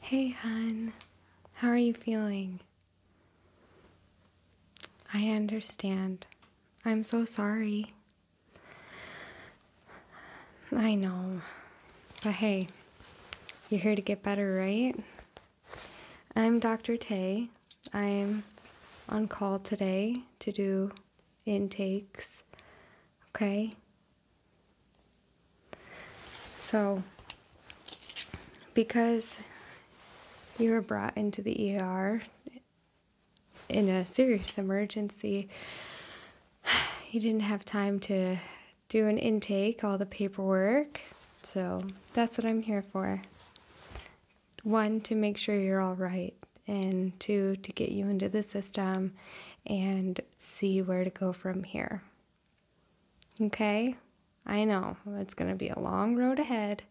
Hey, hon. How are you feeling? I understand. I'm so sorry. I know. But hey, you're here to get better, right? I'm Dr. Tay. I'm on call today to do intakes. Okay? So, because you were brought into the ER in a serious emergency, you didn't have time to do an intake, all the paperwork. So, that's what I'm here for. One, to make sure you're all right, and two, to get you into the system and see where to go from here. Okay? I know it's going to be a long road ahead,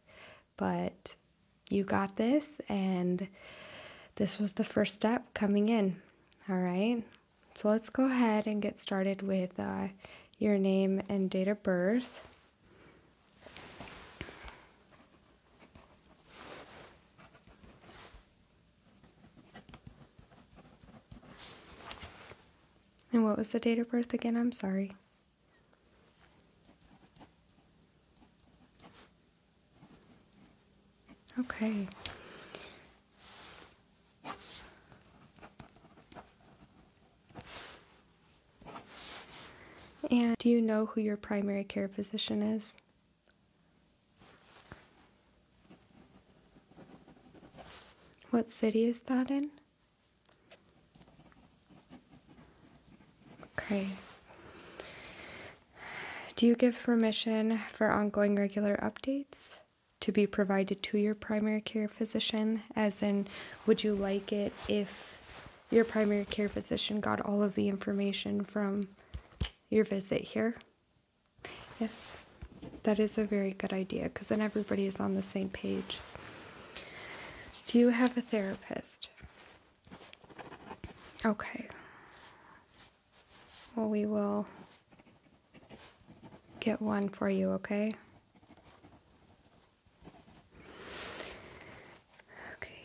but you got this, and this was the first step coming in. All right? So let's go ahead and get started with uh, your name and date of birth. And what was the date of birth again? I'm sorry. Okay. And do you know who your primary care physician is? What city is that in? Okay. Do you give permission for ongoing regular updates to be provided to your primary care physician? As in, would you like it if your primary care physician got all of the information from your visit here? Yes, that is a very good idea because then everybody is on the same page. Do you have a therapist? Okay. Well, we will get one for you, okay? Okay.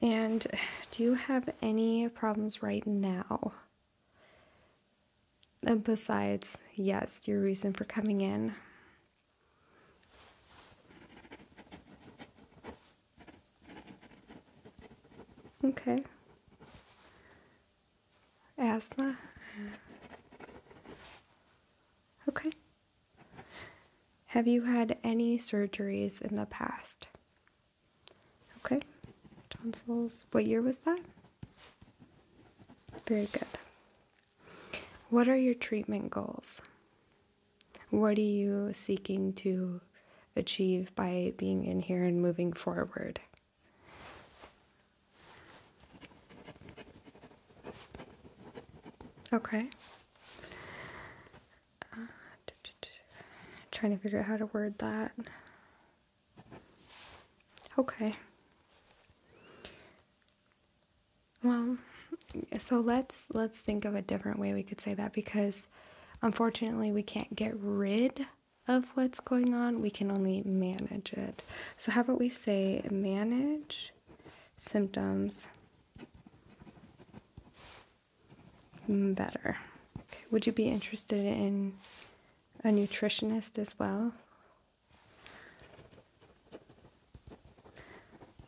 And do you have any problems right now? besides, yes, your reason for coming in. Okay. Asthma. Okay. Have you had any surgeries in the past? Okay, tonsils. What year was that? Very good. What are your treatment goals? What are you seeking to achieve by being in here and moving forward? Okay. Uh, trying to figure out how to word that. Okay. Well, so let's let's think of a different way we could say that because unfortunately we can't get rid of what's going on. We can only manage it. So how about we say manage symptoms Mm, better. Would you be interested in a nutritionist as well?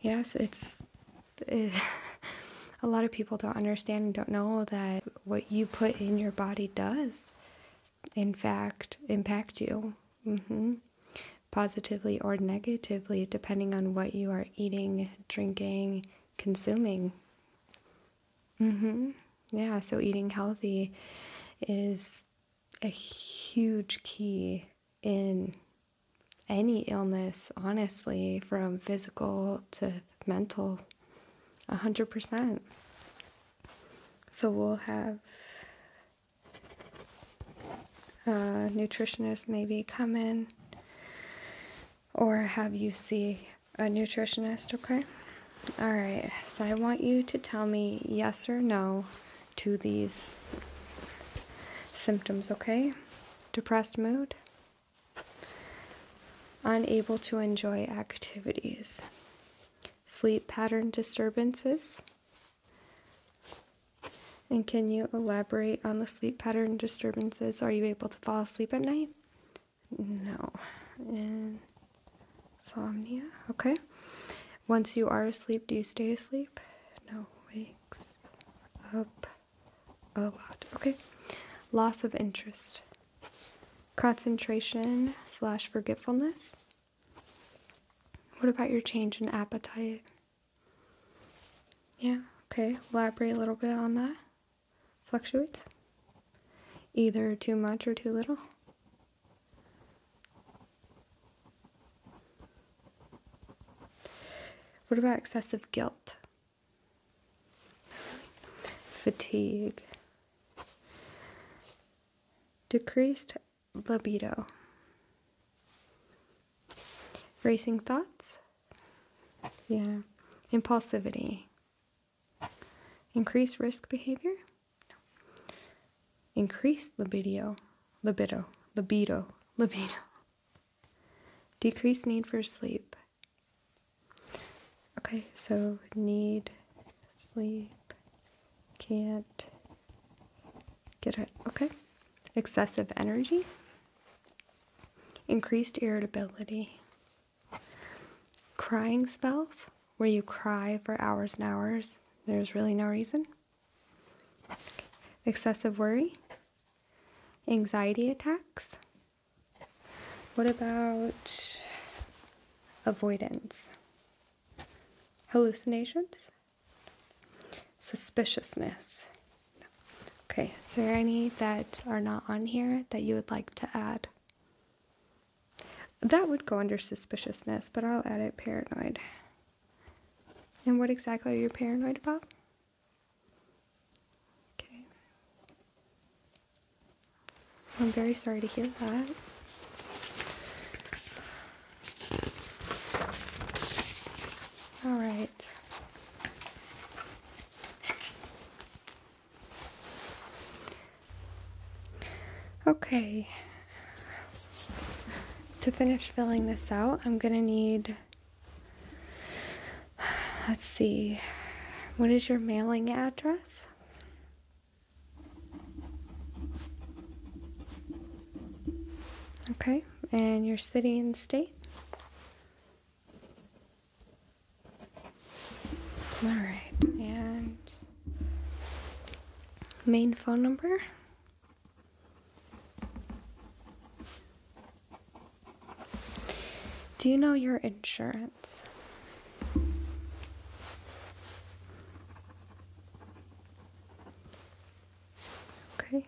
Yes, it's a lot of people don't understand and don't know that what you put in your body does, in fact, impact you. Mm-hmm. Positively or negatively, depending on what you are eating, drinking, consuming. Mm-hmm. Yeah, so eating healthy is a huge key in any illness, honestly, from physical to mental. 100%. So we'll have nutritionists maybe come in or have you see a nutritionist, okay? All right, so I want you to tell me yes or no to these symptoms, okay? Depressed mood, unable to enjoy activities, sleep pattern disturbances. And can you elaborate on the sleep pattern disturbances? Are you able to fall asleep at night? No. Insomnia. Okay. Once you are asleep, do you stay asleep? No. Wakes up a lot. Okay. Loss of interest. Concentration slash forgetfulness. What about your change in appetite? Yeah. Okay. Elaborate a little bit on that fluctuates either too much or too little. What about excessive guilt? Fatigue. Decreased libido. Racing thoughts? Yeah. Impulsivity. Increase risk behavior? No. Increase libido, libido, libido, libido. Decrease need for sleep. Okay, so need sleep, can't get it. Okay. Excessive energy, increased irritability. Crying spells, where you cry for hours and hours, there's really no reason. Excessive worry, anxiety attacks. What about avoidance? Hallucinations, suspiciousness, Okay, is there any that are not on here that you would like to add? That would go under suspiciousness, but I'll add it paranoid. And what exactly are you paranoid about? Okay. I'm very sorry to hear that. All right. Okay, to finish filling this out, I'm gonna need, let's see, what is your mailing address? Okay, and your city and state? All right, and main phone number. Do you know your insurance? Okay.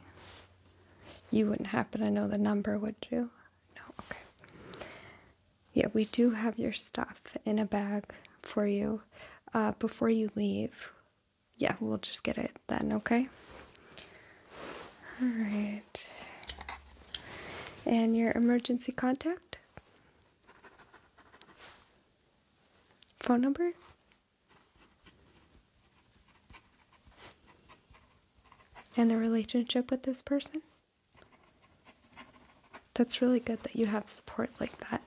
You wouldn't happen to know the number, would you? No, okay. Yeah, we do have your stuff in a bag for you uh, before you leave. Yeah, we'll just get it then, okay? All right. And your emergency contact? Phone number? and the relationship with this person. That's really good that you have support like that.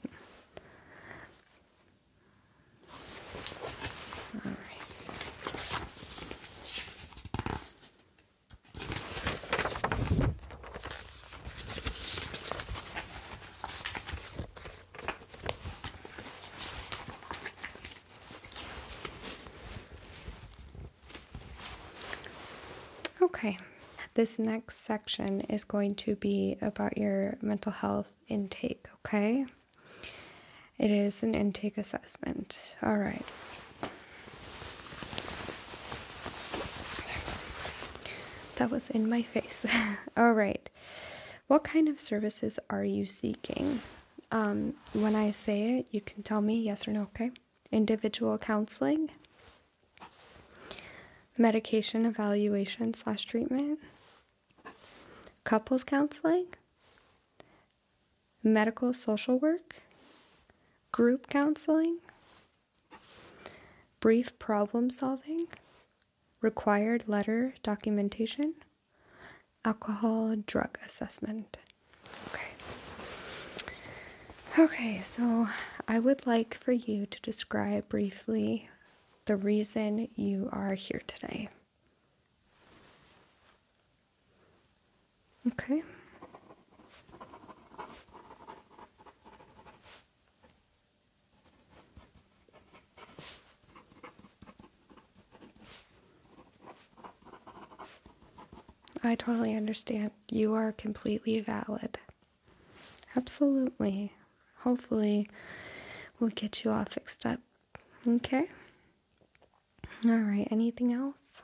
All right. Okay, this next section is going to be about your mental health intake, okay? It is an intake assessment. All right. That was in my face. All right. What kind of services are you seeking? Um, when I say it, you can tell me yes or no, okay? Individual counseling, medication evaluation slash treatment, couples counseling, medical social work, group counseling, brief problem solving, required letter documentation alcohol drug assessment. Okay. Okay, so I would like for you to describe briefly the reason you are here today. Okay. I totally understand. You are completely valid. Absolutely. Hopefully, we'll get you all fixed up. Okay? All right, anything else?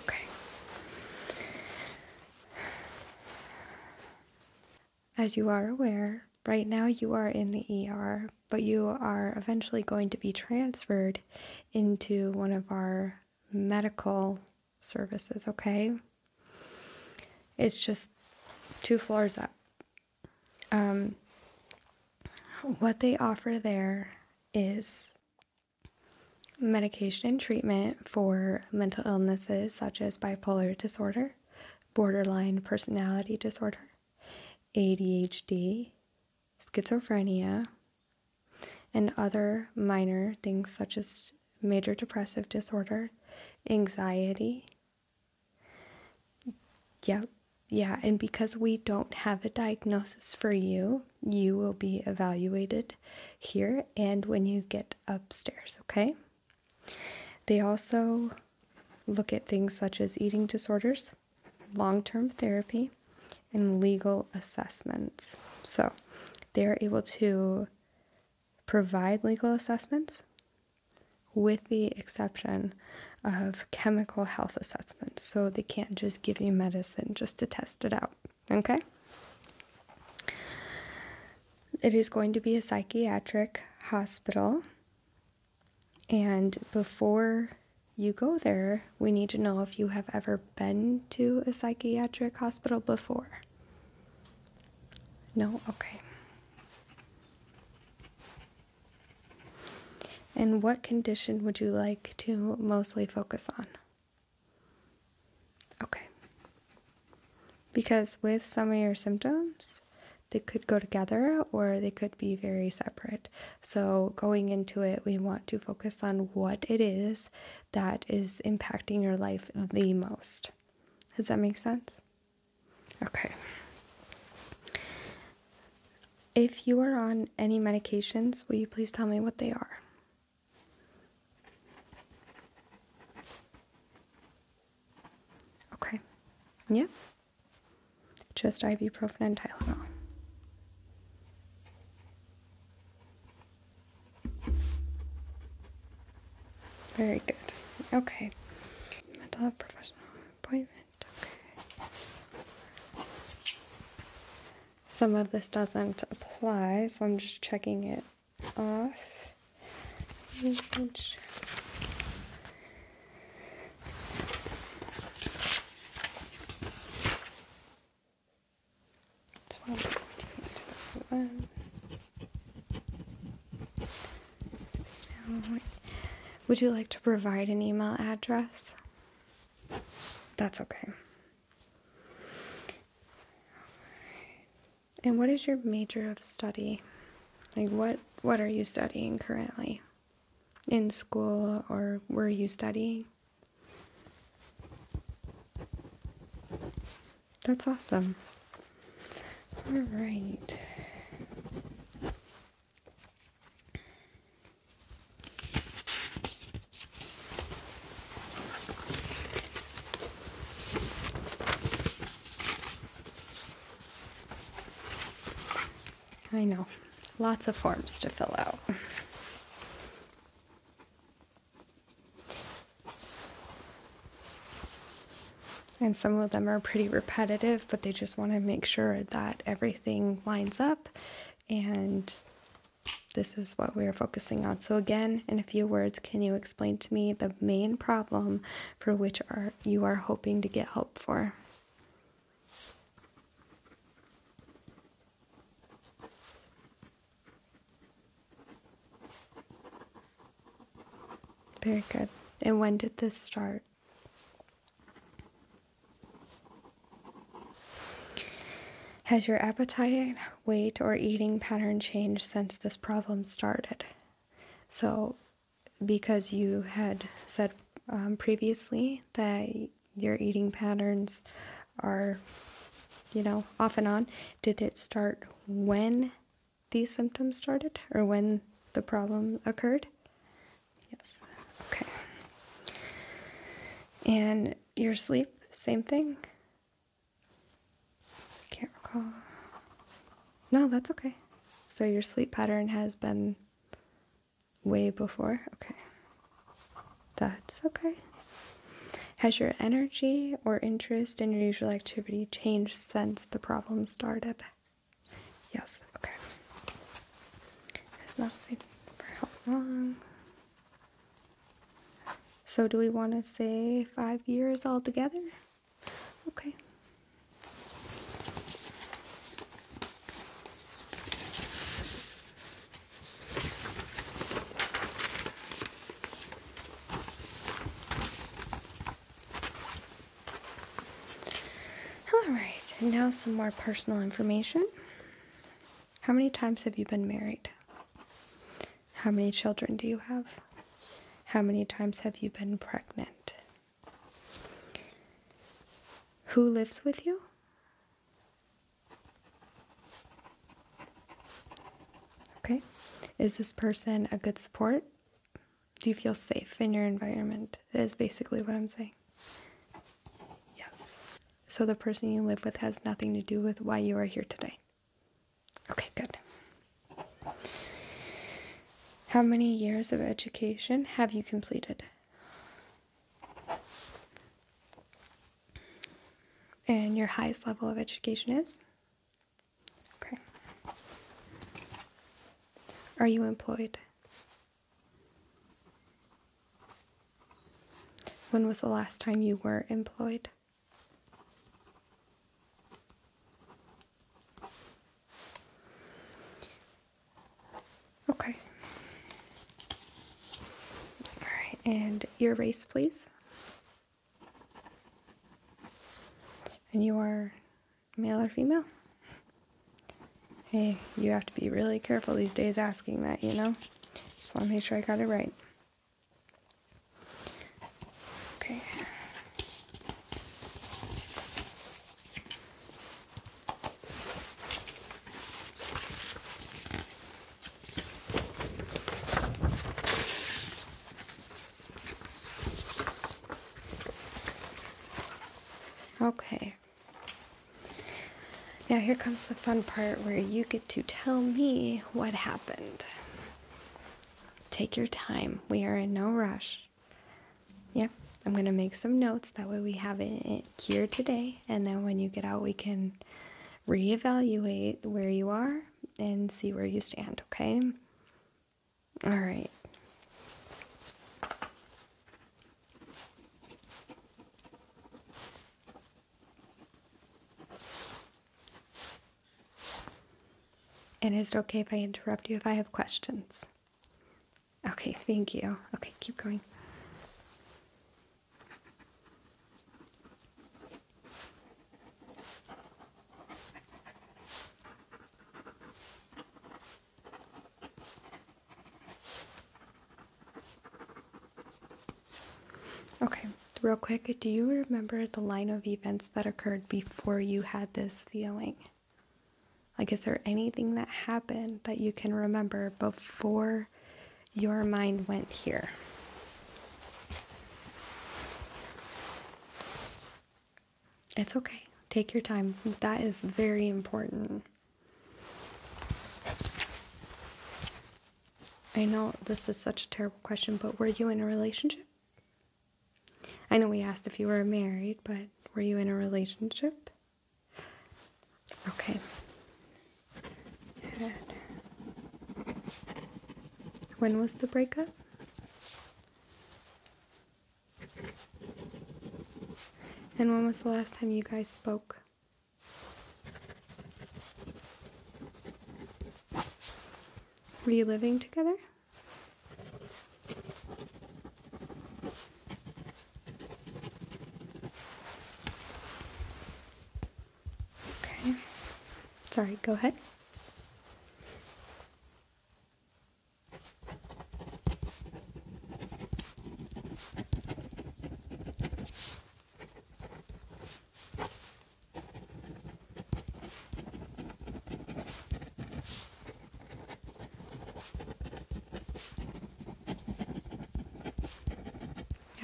Okay. As you are aware, right now you are in the ER, but you are eventually going to be transferred into one of our medical services, okay? It's just two floors up. Um, what they offer there is medication and treatment for mental illnesses such as bipolar disorder, borderline personality disorder, ADHD, schizophrenia, and other minor things such as major depressive disorder, anxiety. Yeah, yeah, and because we don't have a diagnosis for you, you will be evaluated here. And when you get upstairs, okay? They also look at things such as eating disorders, long term therapy, and legal assessments. So they are able to provide legal assessments with the exception of chemical health assessments. So they can't just give you medicine just to test it out. Okay? It is going to be a psychiatric hospital. And before you go there, we need to know if you have ever been to a psychiatric hospital before. No? Okay. And what condition would you like to mostly focus on? Okay. Because with some of your symptoms, they could go together or they could be very separate. So, going into it, we want to focus on what it is that is impacting your life the most. Does that make sense? Okay. If you are on any medications, will you please tell me what they are? Okay. Yep. Just ibuprofen and Tylenol. Very good. Okay. Mental health professional appointment. Okay. Some of this doesn't apply, so I'm just checking it would you like to provide an email address? That's okay. And what is your major of study? Like what what are you studying currently? In school or were you studying? That's awesome. All right. I know, lots of forms to fill out. And some of them are pretty repetitive, but they just want to make sure that everything lines up and this is what we are focusing on. So, again, in a few words, can you explain to me the main problem for which are, you are hoping to get help for? Very good. And when did this start? Has your appetite, weight, or eating pattern changed since this problem started? So, because you had said um, previously that your eating patterns are, you know, off and on, did it start when these symptoms started or when the problem occurred? Yes. Okay. And your sleep, same thing. Can't recall. No, that's okay. So your sleep pattern has been way before? Okay. That's okay. Has your energy or interest in your usual activity changed since the problem started? Yes, okay. Has not sleep for how long? So, do we want to say five years altogether? Okay. All right, now some more personal information. How many times have you been married? How many children do you have? How many times have you been pregnant? Who lives with you? Okay. Is this person a good support? Do you feel safe in your environment? Is basically what I'm saying. Yes so the person you live with has nothing to do with why you are here today. Okay, good. How many years of education have you completed? And your highest level of education is? Okay. Are you employed? When was the last time you were employed? Okay. All right, and your race, please. And you are male or female? Hey, you have to be really careful these days asking that, you know? Just want to make sure I got it right. Okay. Okay. Now, here comes the fun part where you get to tell me what happened. Take your time. We are in no rush. Yeah, I'm going to make some notes. That way, we have it here today. And then when you get out, we can reevaluate where you are and see where you stand, okay? All right. And is it okay if I interrupt you if I have questions? Okay, thank you. Okay, keep going. Okay, real quick, do you remember the line of events that occurred before you had this feeling? Like, is there anything that happened that you can remember before your mind went here? It's okay. Take your time. That is very important. I know this is such a terrible question, but were you in a relationship? I know we asked if you were married, but were you in a relationship? Okay. When was the breakup? And when was the last time you guys spoke? Were you living together? Okay. Sorry, go ahead.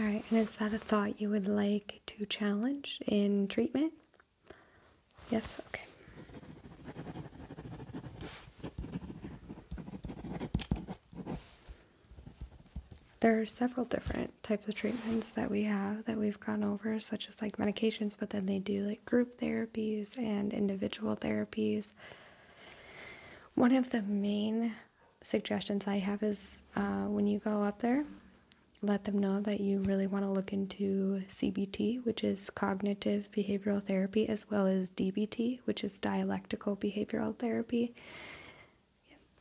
All right, and is that a thought you would like to challenge in treatment? Yes, okay. There are several different types of treatments that we have that we've gone over, such as like medications, but then they do like group therapies and individual therapies. One of the main suggestions I have is uh, when you go up there, let them know that you really want to look into CBT, which is cognitive behavioral therapy, as well as DBT, which is dialectical behavioral therapy.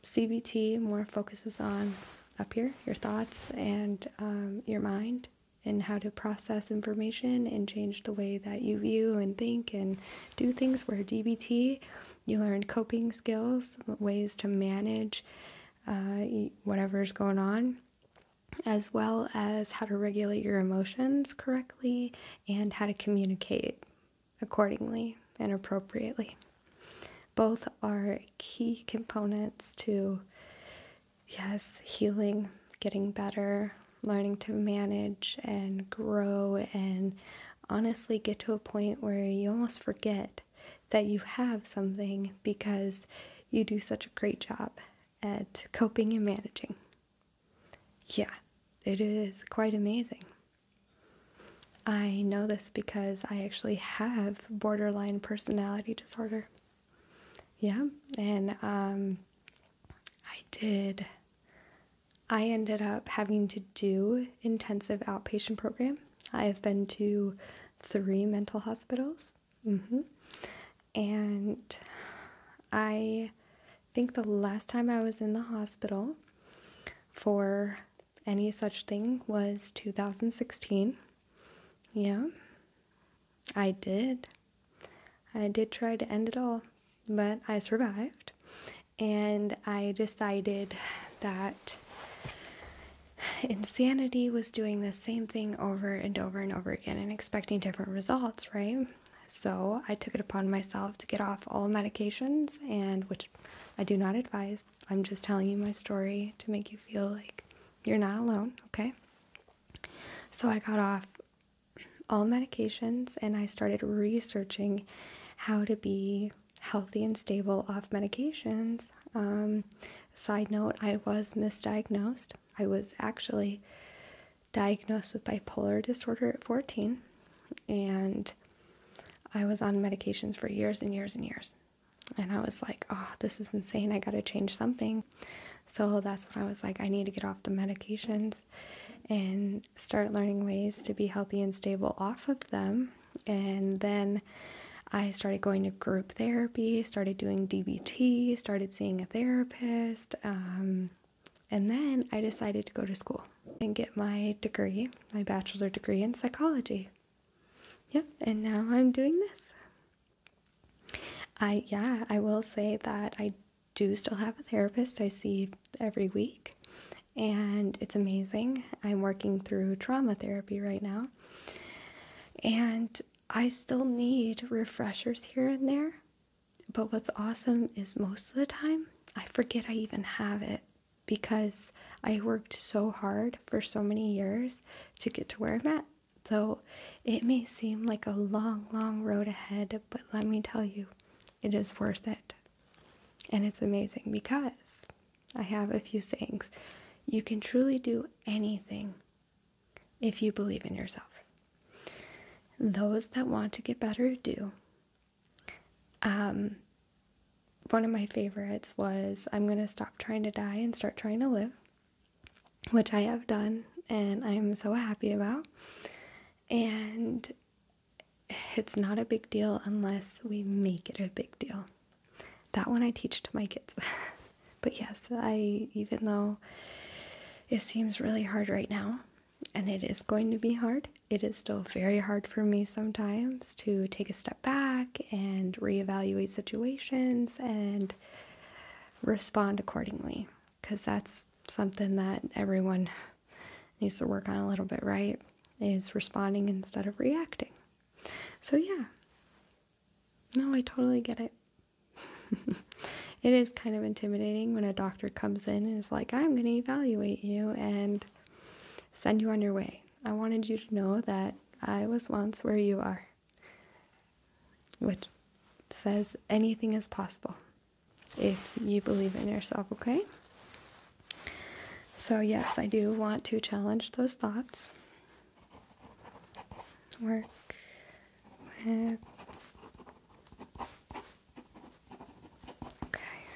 CBT. more focuses on up here, your thoughts and um, your mind, and how to process information and change the way that you view and think and do things. Where DBT, you learn coping skills, ways to manage uh, whatever is going on, as well as how to regulate your emotions correctly and how to communicate accordingly and appropriately. Both are key components to, yes, healing, getting better, learning to manage and grow, and honestly get to a point where you almost forget that you have something because you do such a great job at coping and managing. Yeah, it is quite amazing. I know this because I actually have borderline personality disorder. Yeah, and um, I did, I ended up having to do intensive outpatient program. I have been to three mental hospitals. Mm-hmm. And I I think the last time I was in the hospital for any such thing was 2016. Yeah, I did. I did try to end it all, but I survived. And I decided that insanity was doing the same thing over and over and over again and expecting different results, right? So I took it upon myself to get off all medications, and which I do not advise. I'm just telling you my story to make you feel like you're not alone, okay? So I got off all medications and I started researching how to be healthy and stable off medications. Um, side note, I was misdiagnosed. I was actually diagnosed with bipolar disorder at 14, and I was on medications for years and years and years. And I was like, oh, this is insane. I got to change something. So that's when I was like, I need to get off the medications and start learning ways to be healthy and stable off of them. And then I started going to group therapy, started doing DBT, started seeing a therapist. Um, and then I decided to go to school and get my degree, my bachelor degree in psychology. Yep, and now I'm doing this. I yeah, I will say that I do still have a therapist I see every week, and it's amazing. I'm working through trauma therapy right now, and I still need refreshers here and there but what's awesome is most of the time I forget I even have it because I worked so hard for so many years to get to where I'm at. So it may seem like a long, long road ahead, but let me tell you, it is worth it. And it's amazing because I have a few sayings. You can truly do anything if you believe in yourself. Those that want to get better do. Um, one of my favorites was I'm going to stop trying to die and start trying to live, which I have done and I'm so happy about. And it's not a big deal unless we make it a big deal. That one I teach to my kids. but yes, I even though it seems really hard right now, and it is going to be hard. It is still very hard for me sometimes to take a step back and reevaluate situations and respond accordingly because that's something that everyone needs to work on a little bit, right? Is responding instead of reacting. So, yeah. No, I totally get it. it is kind of intimidating when a doctor comes in and is like, I'm going to evaluate you and send you on your way. I wanted you to know that I was once where you are, which says anything is possible if you believe in yourself, okay? So, yes, I do want to challenge those thoughts. Work okay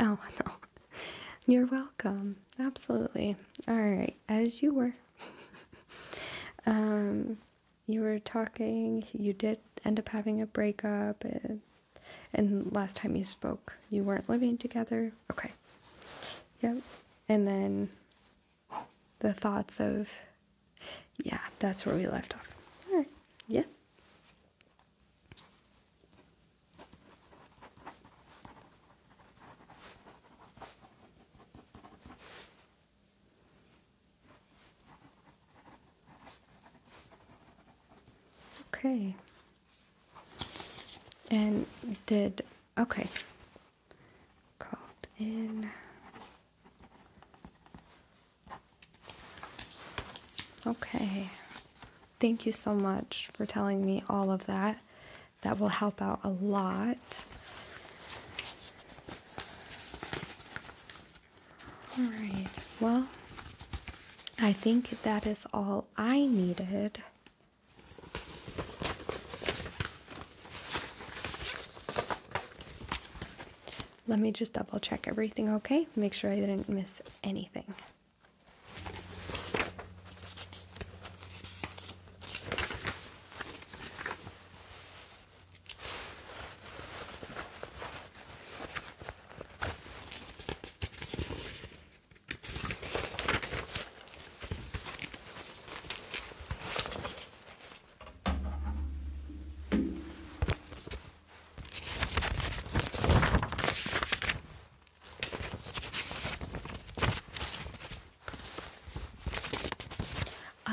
oh no you're welcome absolutely all right as you were um you were talking you did end up having a breakup and, and last time you spoke you weren't living together okay yep and then the thoughts of, yeah, that's where we left off. All right, yeah. Okay. And did okay called in. Okay. Thank you so much for telling me all of that. That will help out a lot. All right. Well, I think that is all I needed. Let me just double check everything okay. Make sure I didn't miss anything.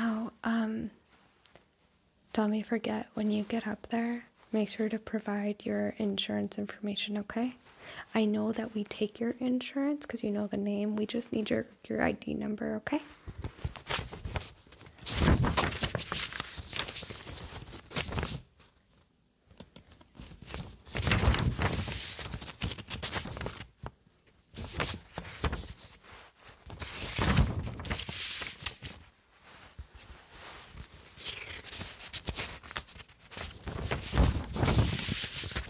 Oh, um, don't me forget when you get up there, make sure to provide your insurance information, okay? I know that we take your insurance because you know the name. We just need your your ID number, okay?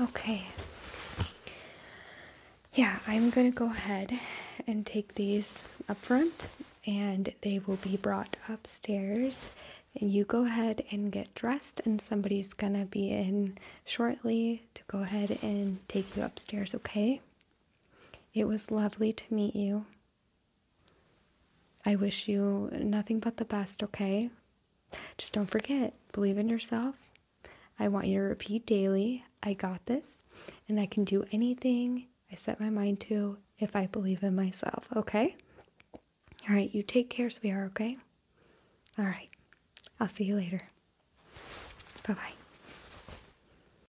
Okay. Yeah, I'm going to go ahead and take these up front and they will be brought upstairs. And you go ahead and get dressed, and somebody's going to be in shortly to go ahead and take you upstairs, okay? It was lovely to meet you. I wish you nothing but the best, okay? Just don't forget, believe in yourself. I want you to repeat daily I got this, and I can do anything I set my mind to if I believe in myself, okay? All right, you take care, sweetheart, okay? All right, I'll see you later. Bye bye.